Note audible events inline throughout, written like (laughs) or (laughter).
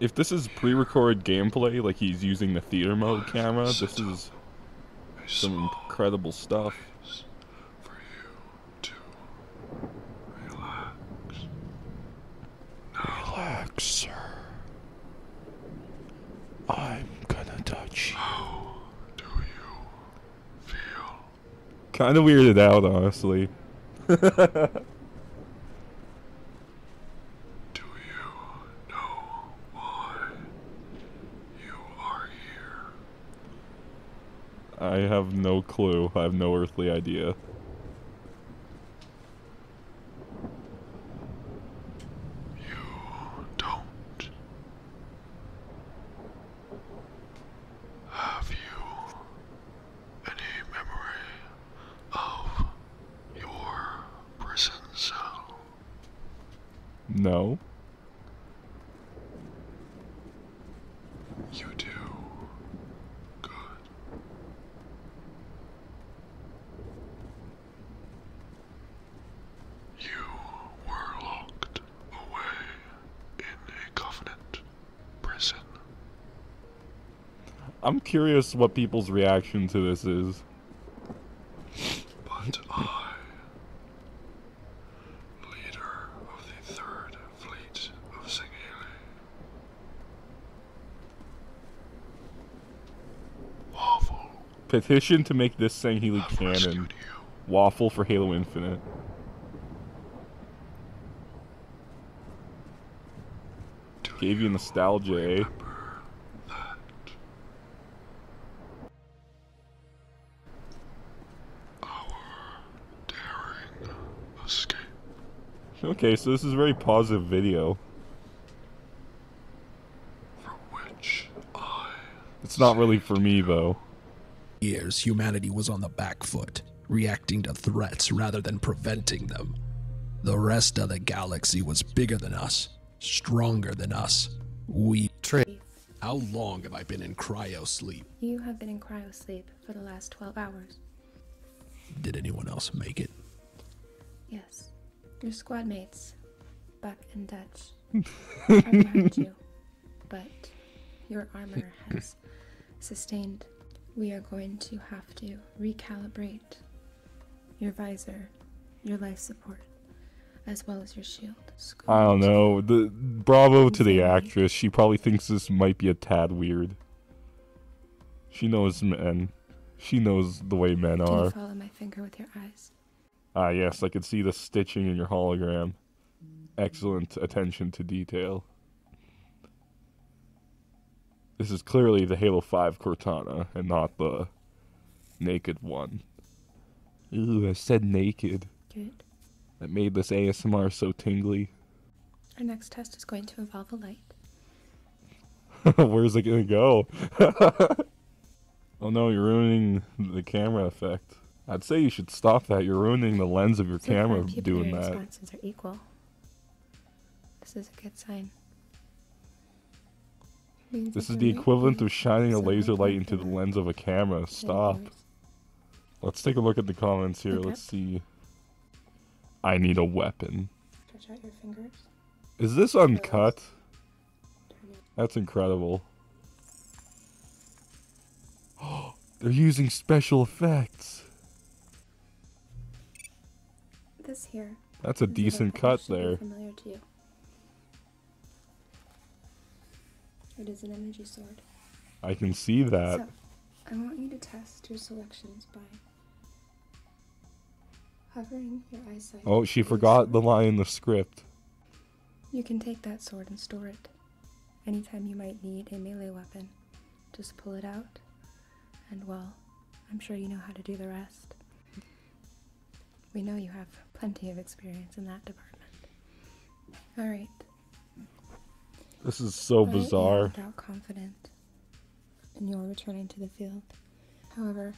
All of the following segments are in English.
if this is pre-recorded gameplay, like he's using the theater mode camera, this is some incredible stuff. I'm gonna touch you. How do you feel? Kinda weirded out, honestly. (laughs) do you know why you are here? I have no clue. I have no earthly idea. You don't. Have you any memory of your prison cell? No. You do. You were locked away in a covenant prison. I'm curious what people's reaction to this is. But I, leader of the Third Fleet of Singele, Petition to make this thing Healy cannon. Waffle for Halo Infinite. Gave you nostalgia, eh? Okay, so this is a very positive video. For which I. It's not really for me, though. Years, humanity was on the back foot, reacting to threats rather than preventing them. The rest of the galaxy was bigger than us, stronger than us. We. Tra- How long have I been in cryo sleep? You have been in cryo sleep for the last 12 hours. Did anyone else make it? Yes. Your squad mates, Buck and Dutch, are (laughs) behind you, but your armor has sustained. We are going to have to recalibrate your visor, your life support, as well as your shield. I don't know. bravo to the actress. She probably thinks this might be a tad weird. She knows men. She knows the way men are. Ah, yes, I can see the stitching in your hologram. Excellent attention to detail. This is clearly the Halo 5 Cortana and not the naked one. Ooh, I said naked that made this ASMR so tingly. Our next test is going to involve a light. (laughs) Where's it gonna go? (laughs) oh no, you're ruining the camera effect. I'd say you should stop that. You're ruining the lens of your camera doing that. Responses are equal. This is a good sign. This is the equivalent of shining a laser light into the lens of a camera. Stop. Let's take a look at the comments here. Let's see. I need a weapon. Stretch out your fingers. Is this uncut? That's incredible. Oh, (gasps) they're using special effects. This here. That's a decent cut there. It is an energy sword. I can see that. I want you to test your selections by hovering your eyesight. Oh, she forgot the line in the script. You can take that sword and store it. Anytime you might need a melee weapon, just pull it out, and well, I'm sure you know how to do the rest. We know you have plenty of experience in that department. Alright, this is so bizarre. I doubt confident in your returning to the field. However,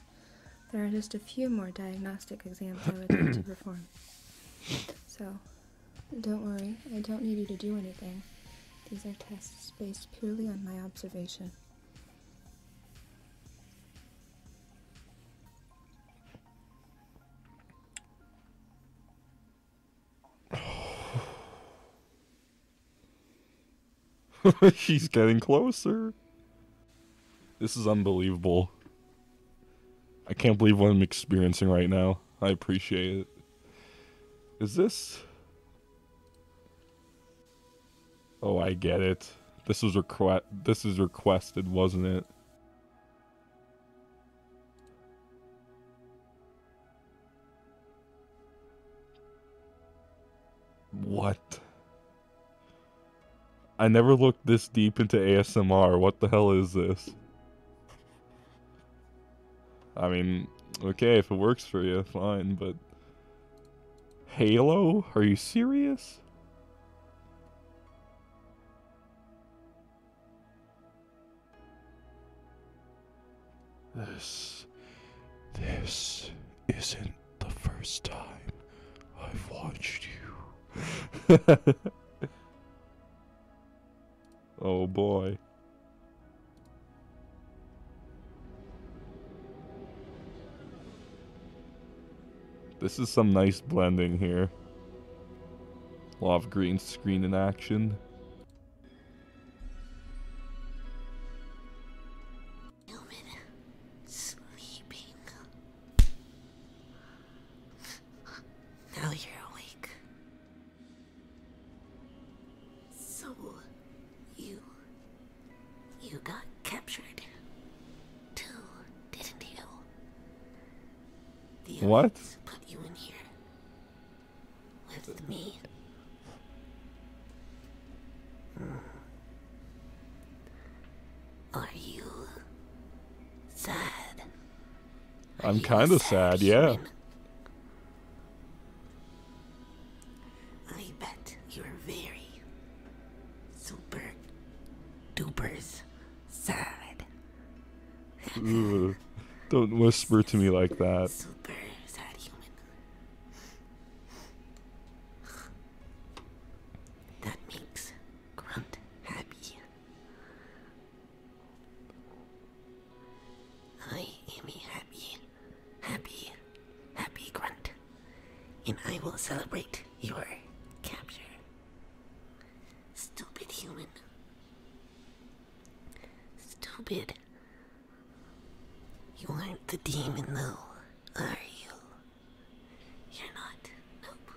there are just a few more diagnostic exams I would like to (clears throat) perform. So, don't worry, I don't need you to do anything. These are tests based purely on my observation. (sighs) He's getting closer. This is unbelievable. I can't believe what I'm experiencing right now. I appreciate it. Is this... Oh, I get it. This was request. This is requested, wasn't it? What? I never looked this deep into ASMR. What the hell is this? I mean, okay, if it works for you, fine, but... Halo? Are you serious? This. This isn't the first time I've watched you. (laughs) oh boy. This is some nice blending here. A lot of green screen in action. You got captured, too, didn't you? what? Hmm. Are you sad? I'm kind of sad, sad yeah. I bet you're very, super duper's sad. don't whisper to me like that. Super sad human. That makes Grunt happy. I am happy, happy, happy Grunt and I will celebrate your capture. Stupid human. Stupid. You aren't the demon, though, are you? You're not. Nope.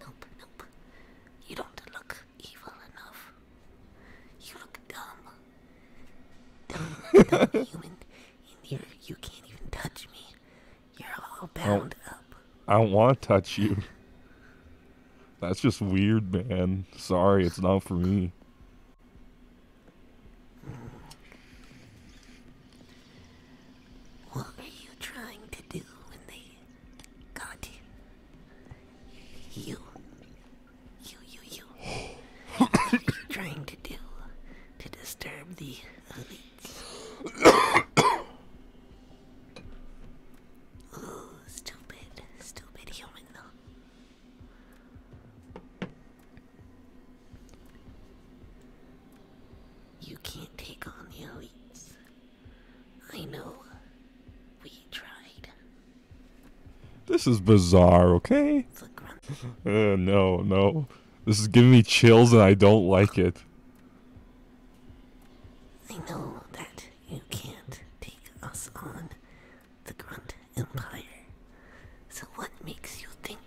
Nope, nope. You don't look evil enough. You look dumb. Dumb, dumb (laughs) human. You're, you can't even touch me. You're all bound up. I don't want to touch you. That's just weird, man. Sorry, it's not for me. What are you trying to do when they got you? You you, you, you. what are you trying to do to disturb the elites? (coughs) oh, stupid, stupid human You can't take on the elites. I know. We tried. This is bizarre, okay? Uh, no, no. This is giving me chills and I don't like it. I know that you can't take us on, the Grunt Empire. So what makes you think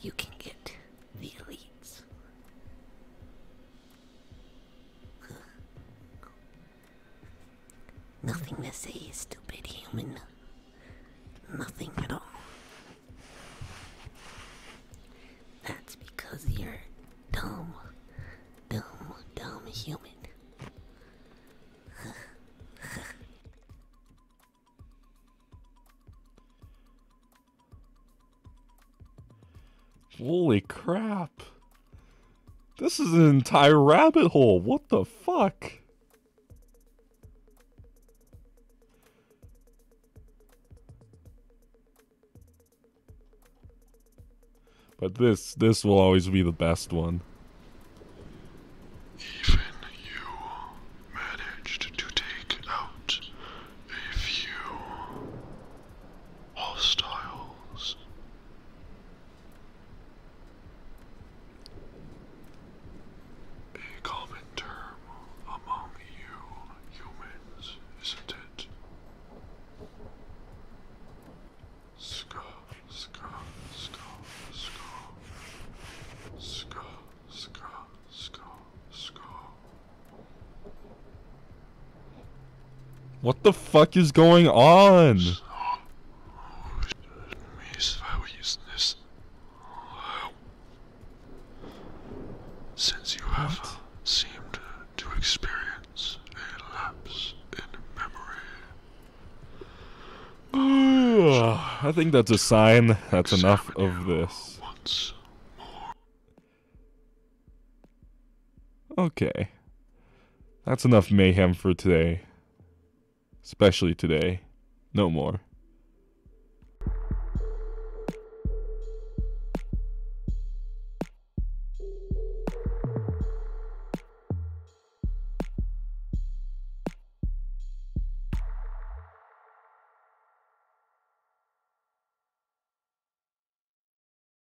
you can get the elites? Nothing to say, stupid human. Nothing at all. That's because you're dumb, dumb, dumb human. Holy crap! This is an entire rabbit hole. What the fuck? But this this will always be the best one. Even you managed to take out a few hostiles. A common term among you humans, isn't it? Ska, ska, ska, ska. Ska, ska, ska, ska. What the fuck is going on? Since you have seemed to experience a lapse in memory. (sighs) I think that's a sign that's enough of this. Okay. That's enough mayhem for today. Especially today. No more.